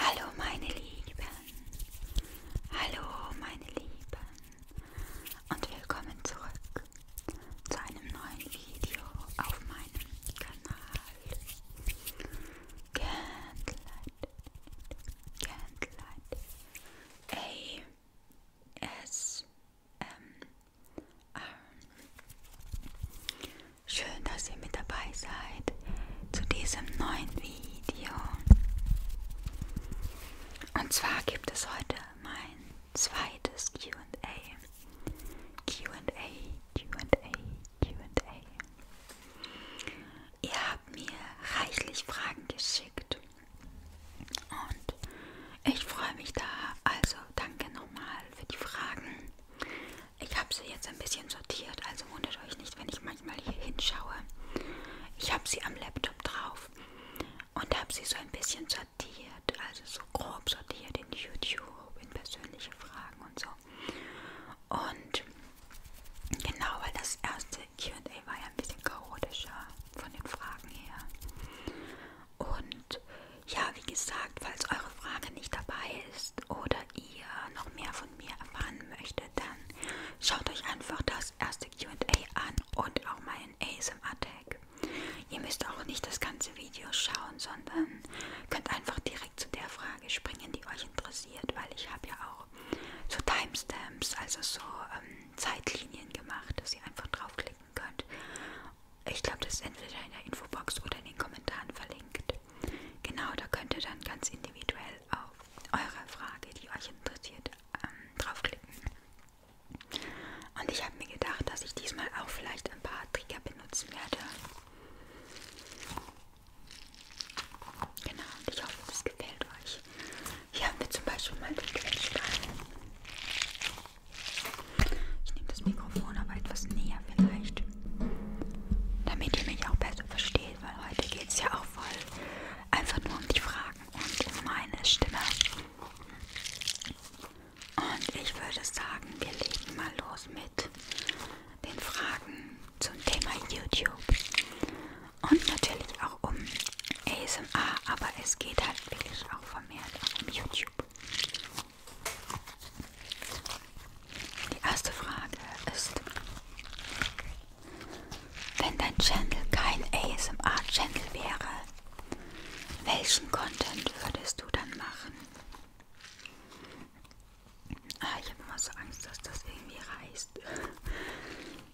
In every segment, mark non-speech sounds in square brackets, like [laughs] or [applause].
Hallo meine Lieben, hallo meine Lieben und willkommen zurück zu einem neuen Video auf meinem Kanal. Candlelight, Candlelight, A S ähm, ähm, schön, dass ihr mit dabei seid zu diesem neuen Video. Und zwar gibt es heute mein zweites QA. QA, QA, QA. Ihr habt mir reichlich Fragen geschickt und ich freue mich da. Also danke nochmal für die Fragen. Ich habe sie jetzt ein bisschen sortiert, also wundert euch nicht, wenn ich manchmal hier hinschaue. Ich habe sie am Laptop drauf und habe sie so ein bisschen sortiert, also so grob sortiert in YouTube, in persönliche Fragen und so. Und genau, weil das erste QA war ja ein bisschen chaotischer von den Fragen her. Und ja, wie gesagt, falls eure Frage nicht dabei ist oder ihr noch mehr von mir erfahren möchtet, dann schaut euch einfach das erste QA an und auch meinen ASMR-Tag. Ihr müsst auch nicht das ganze Video schauen, sondern könnt einfach direkt zu der Frage springen, die euch interessiert, weil ich habe ja auch so Timestamps, also so ähm, Zeitlinien gemacht, dass ihr einfach draufklicken könnt ich glaube, das ist entweder in der Infobox oder in den Kommentaren verlinkt. Genau, da könnt ihr dann ganz individuell auf eure Frage, die euch interessiert, ähm, draufklicken. Und ich habe mir gedacht, dass ich diesmal auch vielleicht ein paar Trigger benutzen werde. Genau, und ich hoffe, das gefällt euch. Hier haben wir zum Beispiel mal den Quetschstein. Ich nehme das Mikrofon aber etwas näher vielleicht, damit ihr mich auch besser versteht, weil heute geht es ja auch voll einfach nur um die Fragen und um meine Stimme. Und ich würde sagen, wir legen mal los mit den Fragen zum Thema YouTube. Und natürlich auch um ASMR, aber es geht halt wirklich auch vermehrt auch um YouTube. Die erste Frage ist, wenn dein Channel kein ASMR-Channel wäre, welchen Content würdest du dann machen? Ah, ich habe immer so Angst, dass das irgendwie reißt.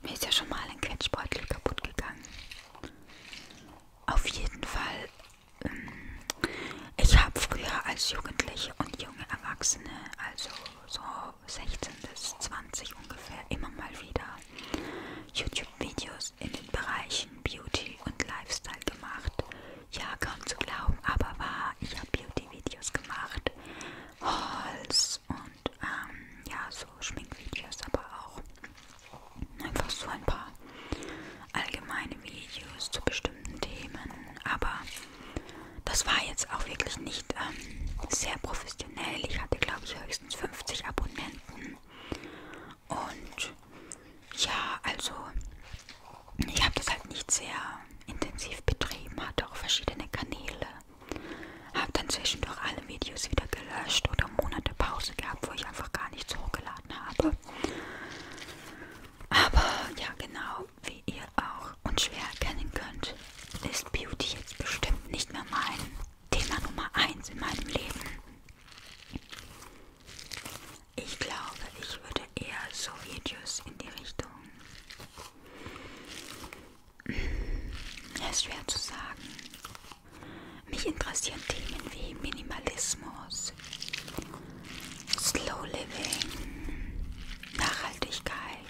Mir ist ja schon mal ein Quetschbeutel kaputt gegangen. Auf jeden Fall ähm, ich habe früher als Jugendliche und junge Erwachsene, also so 16 bis 20 ungefähr, immer mal wieder YouTube-Videos in den Bereichen Beauty und Lifestyle gemacht. Ja, kaum zu glauben, aber war, ich habe Beauty-Videos gemacht, Hauls und ähm, ja, so Schminkvideos aber auch einfach so ein paar allgemeine Videos zu bestimmten Themen. Aber das war jetzt auch wirklich nicht ähm, sehr professionell. Ich hatte, glaube ich, höchstens 50 Abonnenten. Und ja, also ich habe das halt nicht sehr intensiv betrieben, hatte auch verschiedene Kanäle. Habe dann zwischendurch alle Videos wieder gelöscht oder Monate Pause gehabt, wo ich einfach gar nichts hochgeladen habe. Aber ja, genau wie ihr auch unschwer erkennen könnt, ist Beauty jetzt bestimmt nicht mehr mein Thema Nummer 1 in meinem Leben. Ich glaube, ich würde eher so Videos in die Richtung. Es hm, ist schwer zu sagen. Mich interessieren Themen wie Minimalismus, Slow Living, Nachhaltigkeit,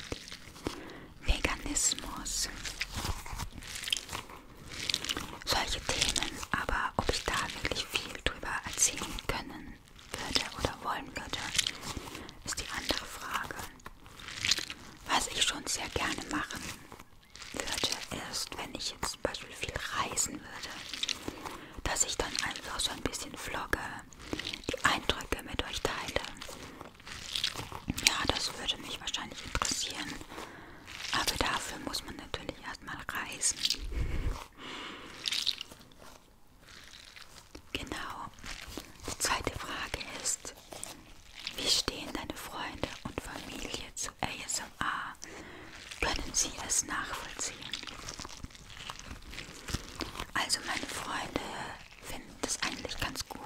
Veganismus. Solche Themen, aber ob ich da wirklich viel drüber erzählen können würde oder wollen würde, ist die andere Frage. Was ich schon sehr gerne machen würde, ist, wenn ich jetzt zum Beispiel viel reisen würde, dass ich dann einfach so ein bisschen vlogge, die Eindrücke mit euch teile. Ja, das würde mich wahrscheinlich interessieren. Aber dafür muss man natürlich erstmal reisen. [laughs] Genau. Die zweite Frage ist, wie stehen deine Freunde und Familie zu ASMR? können Sie es nachvollziehen? Also meine Freunde finden das eigentlich ganz gut.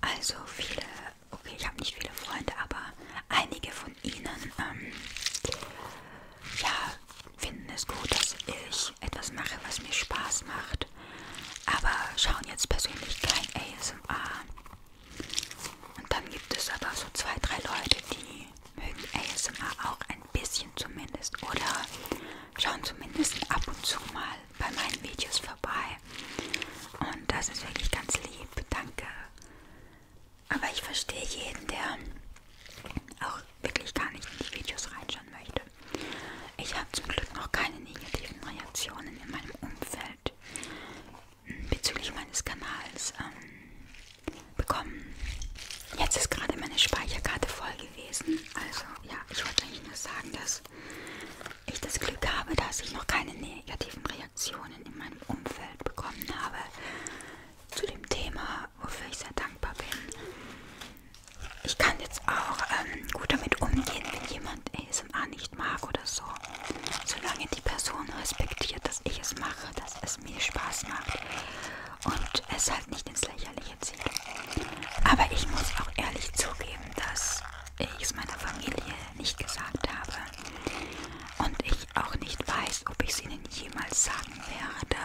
Also viele, okay, ich habe nicht viele Freunde, aber einige von ihnen ähm, ja, finden es gut, dass ich etwas mache, was mir Spaß macht, aber schauen jetzt persönlich kein ASMR. Und dann gibt es aber so zwei, drei Leute, die mögen ASMR auch ein bisschen zumindest oder schauen zumindest ab und zu mal bei meinen Videos vorbei. Und das ist wirklich ganz lieb, danke. Aber ich verstehe jeden, der auch wirklich gar nicht in die Videos reinschauen möchte. Ich habe zum Glück noch keine negativen Reaktionen in meinem Umfeld bezüglich meines Kanals ähm, bekommen. Jetzt ist gerade meine Speicherkarte voll gewesen. Also ja, ich wollte eigentlich nur sagen, dass ich das Glück habe, dass ich noch keine negativen Reaktionen in meinem Umfeld bekommen habe zu dem Thema, wofür ich sehr dankbar bin. Ich kann jetzt auch ähm, gut damit umgehen, wenn jemand ASMR nicht mag oder oder so. Solange die Person respektiert, dass ich es mache, dass es mir Spaß macht und es halt nicht ins Lächerliche zieht. Aber ich muss auch ehrlich zugeben, dass ich es meiner Familie nicht gesagt habe und ich auch nicht weiß, ob ich es ihnen jemals sagen werde.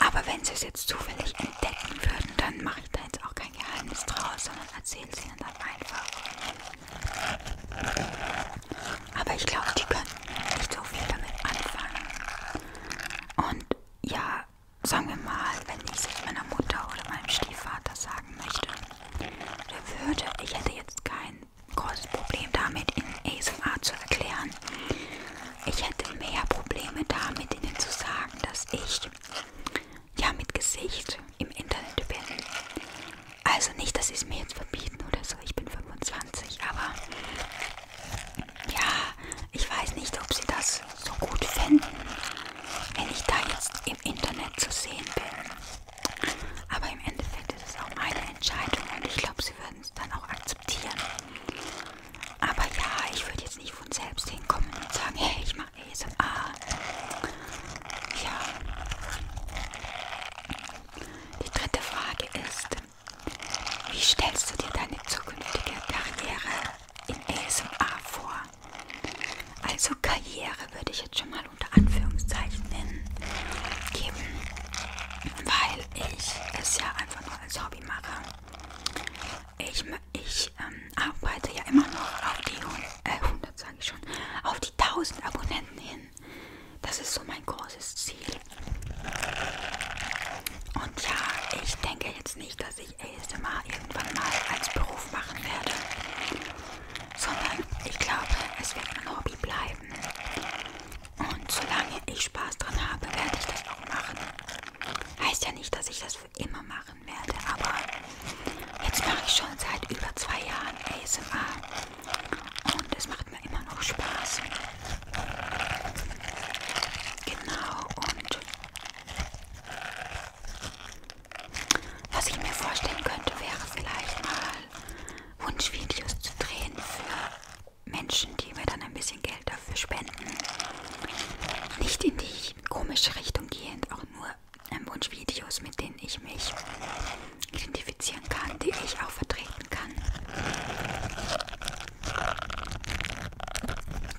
Aber wenn sie es jetzt zufällig entdecken würden, dann mache ich da jetzt auch kein Geheimnis draus, sondern erzähle es ihnen dann einfach. Aber ich glaube, die können nicht so viel damit anfangen. Und ja, sagen wir mal, wenn ich es meiner Mutter oder meinem Stiefvater sagen möchte, der würde, ich hätte jetzt kein großes Problem damit, in ASMR zu erklären. Ich hätte mehr Probleme damit, ihnen zu sagen, dass ich ja mit Gesicht im Internet bin. Also nicht, dass sie es mir jetzt verbieten oder so. Ich bin 25, aber ja, ich weiß nicht, ob sie das so gut finden, wenn ich da jetzt im Internet zu sehen bin. Aber im Endeffekt ist es auch meine Entscheidung und ich glaube, sie würden es dann auch akzeptieren. Aber ja, ich würde jetzt nicht von selbst hinkommen und sagen, hey, ich mache ASMR ja. Die dritte Frage ist, wie stellst du dir deine zukünftige Karriere in ASMR vor? Also Karriere würde ich jetzt schon mal unter Anführungszeichen nennen, geben, weil ich es ja einfach nur als Hobby mache. Ich, ich ähm, arbeite ja immer noch auf die äh, 100, sage ich schon, auf die 1000 Abonnenten hin. Das ist so mein großes Ziel. Und ja, ich denke jetzt nicht, dass ich ASMR irgendwann mal als Beruf machen werde, sondern ich glaube, es wird mein Hobby bleiben. Und solange ich Spaß dran habe, werde ich das auch machen. Heißt ja nicht, dass ich das für immer machen werde, aber jetzt mache ich schon seit über zwei Jahren ASMR. Und es macht mir immer noch Spaß. Genau, und was ich mir vorstellen könnte, wäre vielleicht mal Wunschvideos zu drehen für Menschen, die mir dann ein bisschen Geld dafür spenden. Nicht in die komische Richtung gehend, auch nur ähm, Wunschvideos, mit denen ich mich identifizieren kann, die ich auch vertreten kann.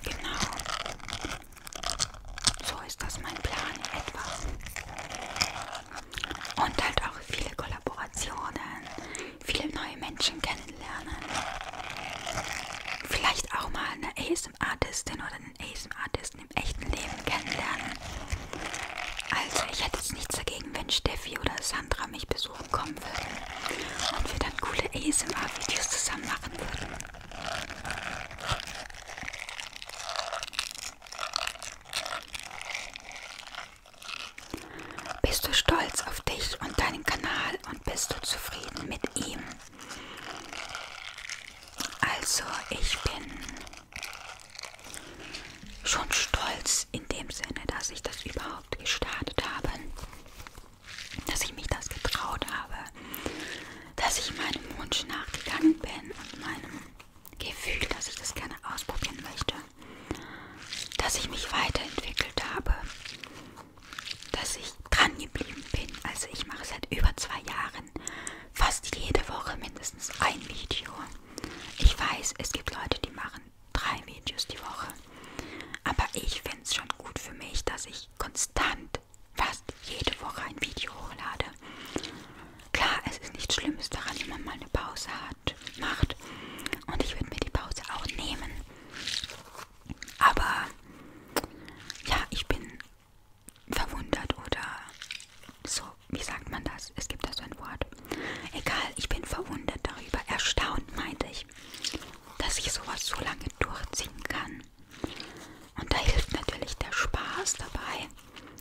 Genau. So ist das mein Plan in etwa. Und halt auch viele Kollaborationen, viele neue Menschen kennenlernen. Vielleicht auch mal eine ASM-Artistin oder einen ASM-Artisten im echten Leben kennenlernen. Also ich hätte jetzt nichts dagegen, wenn Steffi oder Sandra mich besuchen kommen würden und wir dann coole ASMR-Videos zusammen machen würden. Bist du stolz auf dich und deinen Kanal und bist du zufrieden mit ihm? Also ich bin schon stolz in dem Sinne, dass ich das überhaupt gestartet habe, dass ich mich das getraut habe, dass ich meinem Wunsch nachgegangen bin und meinem Gefühl, dass ich das gerne ausprobieren möchte, dass ich mich weiterentwickelt habe, dass ich dran geblieben bin. Also ich mache seit über zwei Jahren hochgeladen. Fast jede Woche mindestens ein Video. Ich weiß, es gibt Leute, die machen drei Videos die Woche. Aber ich finde es schon gut für mich, dass ich konstant fast jede Woche ein Video hochlade. Klar, es ist nichts Schlimmes daran, wenn man mal eine Pause hat, macht. Und ich würde mir die Pause auch nehmen. Aber ja, ich bin verwundert oder so, wie sagt man das? Es gibt da so ein Wort. Egal, ich bin verwundert darüber. Erstaunt meinte ich, dass ich sowas so lange durchziehen kann. Und da hilft natürlich der Spaß dabei,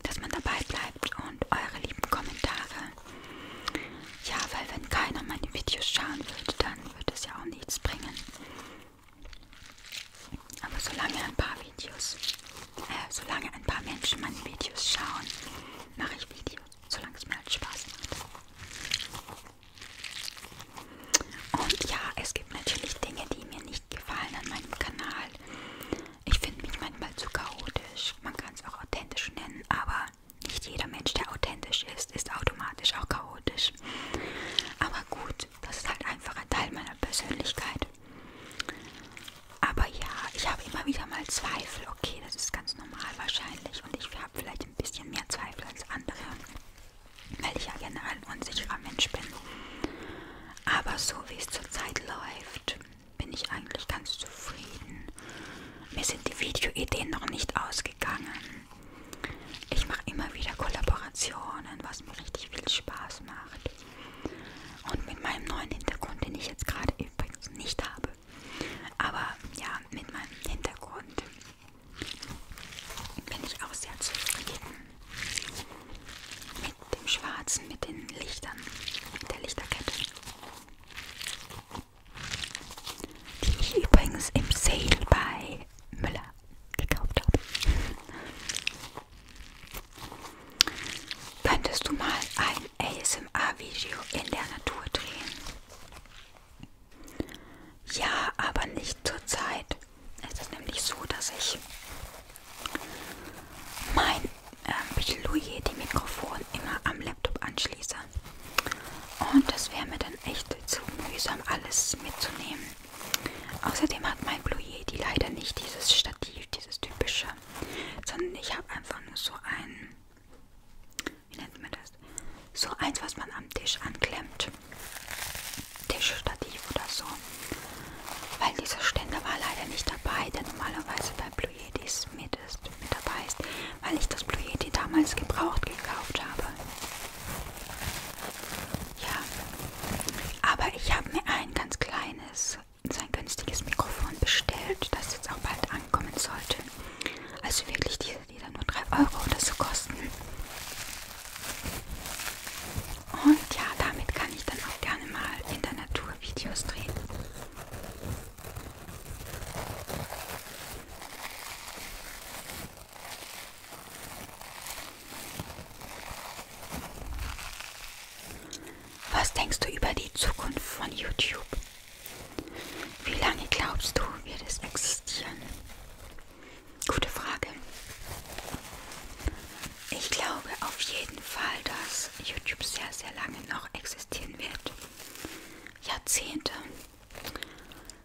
dass man dabei bleibt und eure lieben Kommentare. Ja, weil wenn keiner meine Videos schauen würde, dann würde es ja auch nichts bringen. Aber solange ein paar Videos. Äh, solange ein paar Menschen meine Videos schauen, mache ich Videos, solange es mir halt Spaß macht. Und ja, es gibt natürlich Dinge, die mir nicht gefallen an meinem Kanal. Ich finde mich manchmal zu chaotisch. Man kann es auch authentisch nennen, aber nicht jeder Mensch, der authentisch ist, ist automatisch auch chaotisch. Aber gut, das ist halt einfach ein Teil meiner Persönlichkeit. Aber ja, ich habe immer wieder mal Zweifel. Okay, das ist ganz normal wahrscheinlich. Und ich habe vielleicht ein bisschen mehr Zweifel als andere, weil ich ja generell ein unsicherer Mensch bin. Aber so wie es zurzeit läuft, bin ich eigentlich ganz zufrieden. Mir sind die Videoideen noch nicht ausgegangen. Ich mache immer wieder Kollaborationen, was mir richtig viel Spaß macht. Und mit meinem neuen Hintergrund, den ich jetzt gerade übrigens nicht habe. Aber ja, mit meinem Hintergrund bin ich auch sehr zufrieden. Mit dem Schwarzen, mit den Lichtern, mit der Lichterkette. Die ich übrigens im Sale bei Müller gekauft habe. Könntest du mal ein ASMR-Video in der Natur drehen? Ja, aber nicht zurzeit. Es ist nämlich so, dass ich mein ähm, Piloyer-Mikrofon immer am Laptop anschließe. Und das wäre mir dann echt zu mühsam, alles mitzunehmen. Außerdem hat mein Blue Yeti leider nicht dieses Stativ, natürlich dieses typische, sondern ich habe einfach nur so ein, wie nennt man das, so eins, was man am Tisch anklemmt, Tischstativ oder so, weil dieser Ständer war leider nicht dabei, der normalerweise bei Blue Yetis mit, ist, mit dabei ist, weil ich das Blue Yeti damals gebraucht gekauft habe. Ja, aber ich habe mir ein ganz kleines sein günstiges Mikrofon bestellt, das jetzt auch bald ankommen sollte. Also wirklich diese, die dann nur 3 Euro oder so kosten. Und ja, damit kann ich dann auch gerne mal in der Natur Videos drehen. Was denkst du über die Zukunft von YouTube? Wie lange glaubst du, wird es existieren? Gute Frage. Ich glaube auf jeden Fall, dass YouTube sehr, sehr lange noch existieren wird. Jahrzehnte.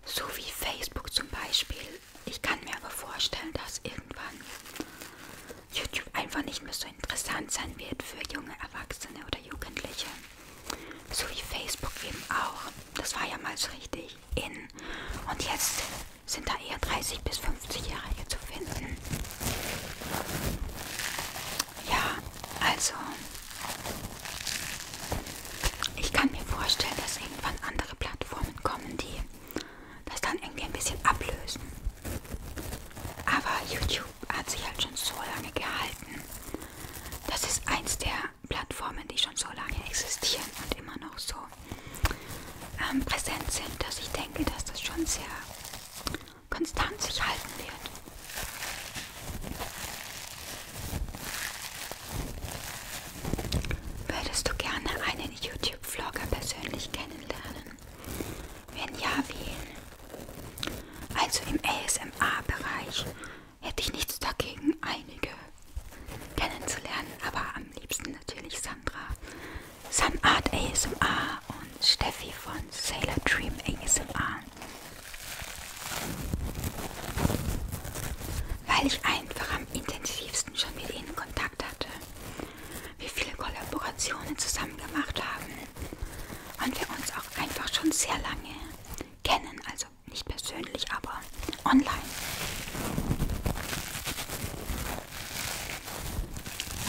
So wie Facebook zum Beispiel. Ich kann mir aber vorstellen, dass irgendwann YouTube einfach nicht mehr so interessant sein wird für junge Erwachsene oder Jugendliche. So wie Facebook eben auch. Das war ja mal so richtig in. Und jetzt sind da eher 30 bis 50-Jährige zu finden. Ja, also ich kann mir vorstellen, dass irgendwann andere Plattformen kommen, die das dann irgendwie ein bisschen ablösen. Aber YouTube hat sich halt schon so lange gehalten. Das ist eins der Plattformen, die schon so lange existieren und immer noch so ähm, präsent sind, dass ich denke, dass das schon sehr konstant sich halten wird. Würdest du gerne einen YouTube-Vlogger persönlich kennenlernen? Wenn ja, wen? Also im ASMR-Bereich hätte ich nichts dagegen, einige kennenzulernen, aber am liebsten natürlich Sandra. Some Art ASMR und Steffi von Sailor Dream ASMR. Weil ich einfach am intensivsten schon mit ihnen Kontakt hatte. Wir viele Kollaborationen zusammen gemacht haben und wir uns auch einfach schon sehr lange kennen. Also nicht persönlich, aber online.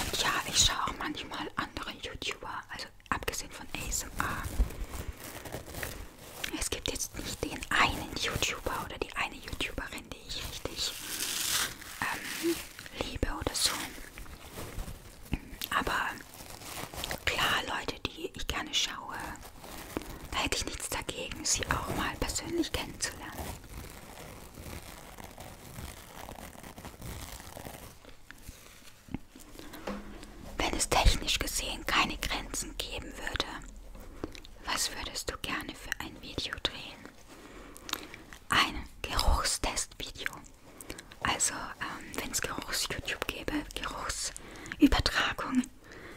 Und ja, ich schaue auch manchmal andere YouTuber, also abgesehen von ASMR. Es gibt jetzt nicht den einen YouTuber oder die eine YouTuberin, die ich richtig ähm, liebe oder so. Aber klar, Leute, die ich gerne schaue, da hätte ich nichts dagegen, sie auch mal persönlich kennenzulernen. Wenn es technisch gesehen keine Grenzen geben würde, was würdest du gerne für ein Video drehen? Ein Geruchstestvideo. Also, ähm, wenn es Geruchs-YouTube gäbe, Geruchsübertragung,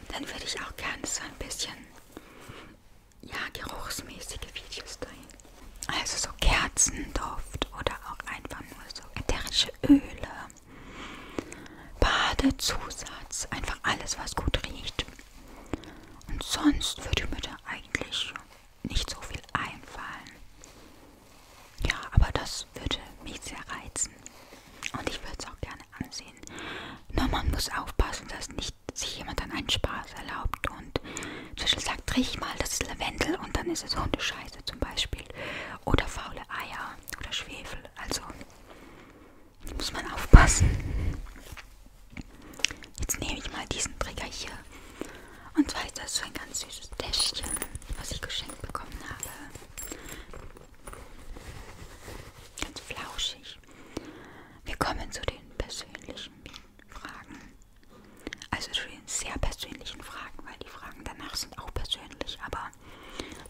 dann würde ich auch gerne so ein bisschen, ja, geruchsmäßige Videos dahin. Also so Kerzenduft oder auch einfach nur so ätherische Öle, Badezusatz, einfach alles, was gut riecht. Und sonst würde mir da eigentlich nicht so viel einfallen. Ja, aber das würde mich sehr reizen. Und ich würde es auch gerne ansehen. Nur man muss aufpassen, dass nicht sich jemand dann einen Spaß erlaubt und zum Beispiel sagt, riech mal, das ist Lavendel und dann ist es Hundescheiße zum Beispiel. Oder faule Eier oder Schwefel. Also muss man aufpassen. Jetzt nehme ich mal diesen Trigger hier. Und zwar ist das so ein ganz süßes Täschchen, was ich geschenkt bekommen habe. Ganz flauschig. Wir kommen zu den persönlichen Fragen. Also zu den sehr persönlichen Fragen, weil die Fragen danach sind auch persönlich, aber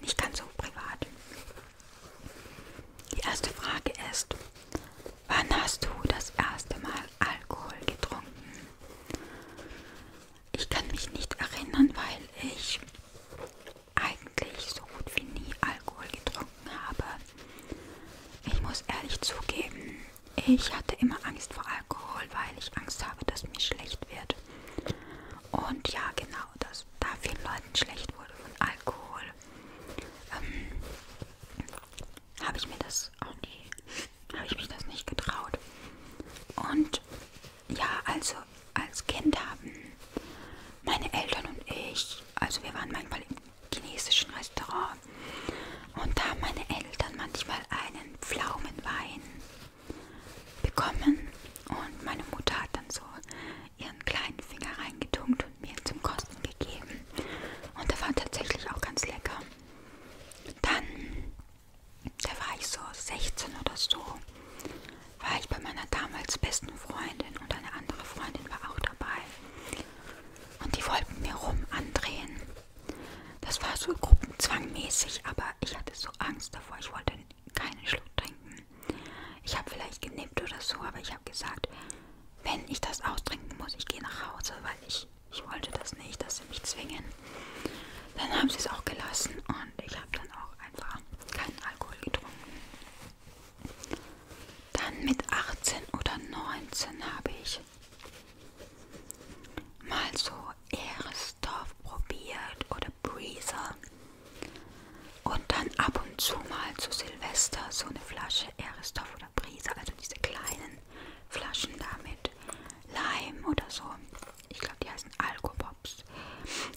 nicht ganz so privat. Die erste Frage ist, wann hast du das erste Mal Alkohol getrunken? Ich kann mich nicht erinnern, weil ich eigentlich so gut wie nie Alkohol getrunken habe. Ich muss ehrlich zugeben, ich hatte immer Angst vor Alkohol, weil ich Angst habe, dass mir schlecht wird. Und ja, genau, dass da vielen Leuten schlecht wurde von Alkohol, ähm, habe ich mir das auch nie habe ich mich das nicht getraut. Und ja, also als Kind haben meine Eltern und ich, also wir waren manchmal im chinesischen Restaurant und da haben meine Eltern manchmal einen Pflaumenwein bekommen und meine Mutter hat dann so ihren kleinen Finger reingetunkt und mir zum Kosten gegeben. Und der war tatsächlich auch ganz lecker. Dann, da war ich so 16 oder so, war ich bei meiner damals besten Freundin und eine andere Freundin war auch dabei. Und die wollten mir rum andrehen. Das war so gruppenzwangmäßig, aber ich hatte so Angst davor. Ich wollte keinen Schluck trinken. Ich habe vielleicht genippt oder so, aber ich habe gesagt, wenn ich das austrinken muss, ich gehe nach Hause, weil ich ich wollte das nicht, dass sie mich zwingen. Dann haben sie es auch gelassen und ich habe dann auch einfach keinen Alkohol getrunken. Dann mit 18 oder 19 habe ich mal so Ehresdorf probiert oder Breezer. Und dann ab und zu mal zu Silvester so eine Flasche Ehresdorf oder Breezer, also diese kleinen Flaschen damit Lime oder so. Ich glaube, die heißen Alkopops.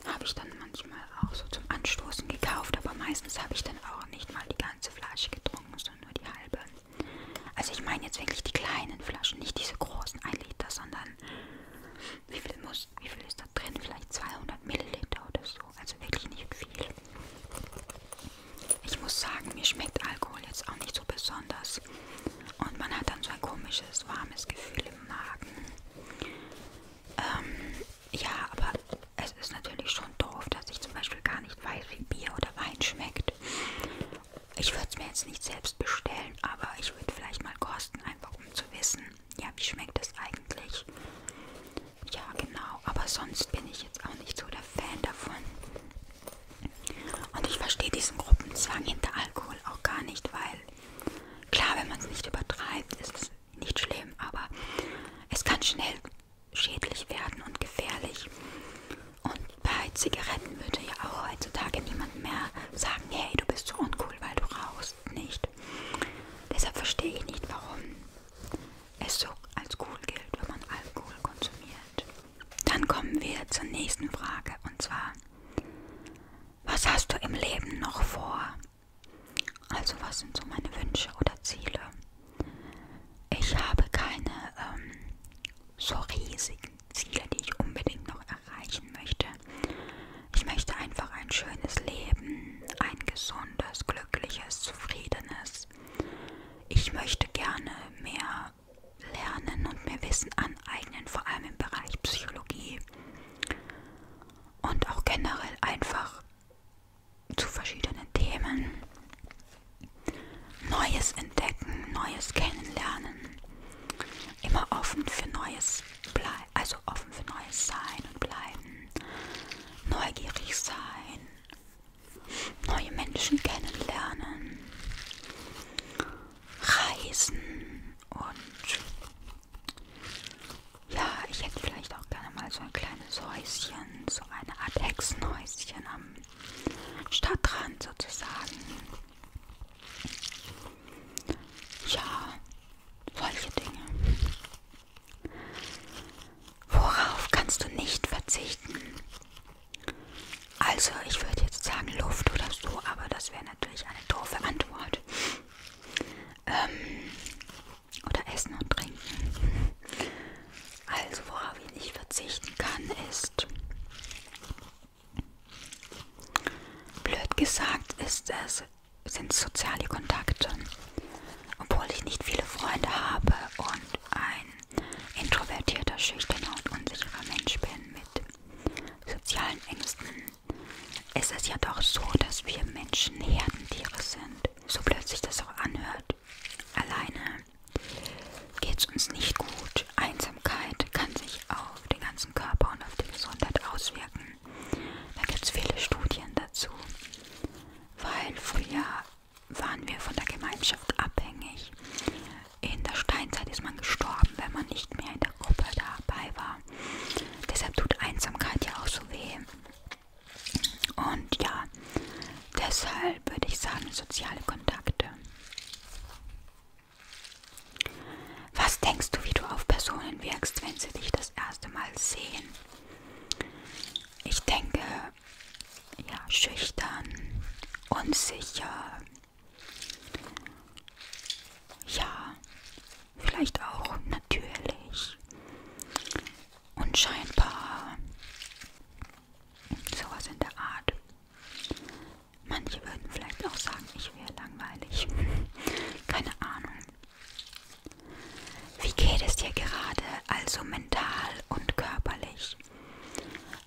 Habe ich dann manchmal auch so zum Anstoßen gekauft, aber meistens habe ich dann auch nicht mal die ganze Flasche getrunken, sondern nur die halbe. Also ich meine jetzt wirklich die kleinen Flaschen, nicht diese großen 1 Liter, sondern wie viel, muss, wie viel ist da drin? Vielleicht 200 Milliliter oder so. Also wirklich nicht viel. Ich muss sagen, mir schmeckt Alkohol jetzt auch nicht so besonders. Und man hat dann so ein komisches, warmes Gefühl im Magen. Ähm, ja, aber es ist natürlich schon doof, dass ich zum Beispiel gar nicht weiß, wie Bier oder Wein schmeckt. Ich würde es mir jetzt nicht selbst bestellen, aber ich würde vielleicht mal kosten, einfach um zu wissen, ja, wie schmeckt es eigentlich. Ja, genau, aber sonst bin ich jetzt auch nicht so der Fan davon. Und ich verstehe diesen Gruppenzwang hinter Alkohol auch gar nicht, weil klar, wenn man es nicht übertreibt, ist es nicht schlimm, aber es kann schnell schädlich werden und gefährlich. Und bei Zigaretten würde ja auch heutzutage niemand mehr sagen, hey, du bist so uncool, weil du rauchst nicht. Deshalb verstehe ich nicht, warum es so als cool gilt, wenn man Alkohol konsumiert. Dann kommen wir zur nächsten Frage und zwar, was hast du im Leben noch vor? Also was sind so meine Wünsche oder Ziele? Ich habe keine ähm, so riesigen Ziele, die ich unbedingt noch erreichen möchte. Ich möchte einfach ein schönes Leben, ein gesundes, glückliches, zufriedenes. Ich möchte gerne mehr lernen und mir Wissen aneignen, vor allem im Bereich Psychologie und auch generell einfach zu verschiedenen Themen. Neues entdecken, Neues kennenlernen, immer offen für Neues bleiben, also offen für Neues sein und bleiben, neugierig sein, neue Menschen kennenlernen, reisen und ja, ich hätte vielleicht auch gerne mal so ein kleines Häuschen, so eine Art Hexenhäuschen am Stadtrand sozusagen. Ja, solche Dinge. Worauf kannst du nicht verzichten? Also, ich würde jetzt sagen Luft oder so, aber das wäre natürlich eine doofe Antwort. Ähm, oder Essen und Trinken. Also, worauf ich nicht verzichten kann, ist. Blöd gesagt, ist es, sind soziale Kontakte. Obwohl ich nicht viele Freunde habe und ein introvertierter, schüchterner und unsicherer Mensch bin mit sozialen Ängsten, ist es ja doch so, dass wir Menschen Herdentiere sind. So blöd sich das auch anhört. Alleine geht es uns nicht gut. Einsamkeit kann sich auf den ganzen Körper und auf die Gesundheit auswirken. Da gibt es viele Studien dazu. Weil früher waren wir von der Gemeinschaft abhängig in der Steinzeit ist man gestorben, wenn man nicht mehr in der Gruppe dabei war. Deshalb tut Einsamkeit ja auch so weh. Und ja, deshalb würde ich sagen, soziale Kontakte. Was denkst du, wie du auf Personen wirkst, wenn sie dich das erste Mal sehen? Ich denke, ja, schüchtern, unsicher, ja, vielleicht auch natürlich. Und scheinbar sowas in der Art. Manche würden vielleicht auch sagen, ich wäre langweilig. [laughs] Keine Ahnung. Wie geht es dir gerade, also mental und körperlich?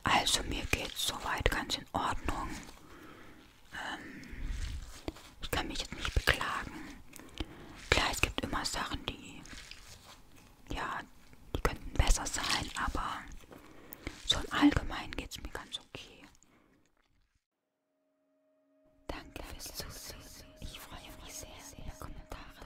Also mir geht's soweit ganz in Ordnung. Ähm, ich kann mich jetzt nicht beklagen. Klar, es gibt immer Sachen, die ja, die könnten besser sein, aber so im Allgemeinen geht's mir ganz okay. Danke fürs Zusehen. Ich freue mich sehr über Kommentare.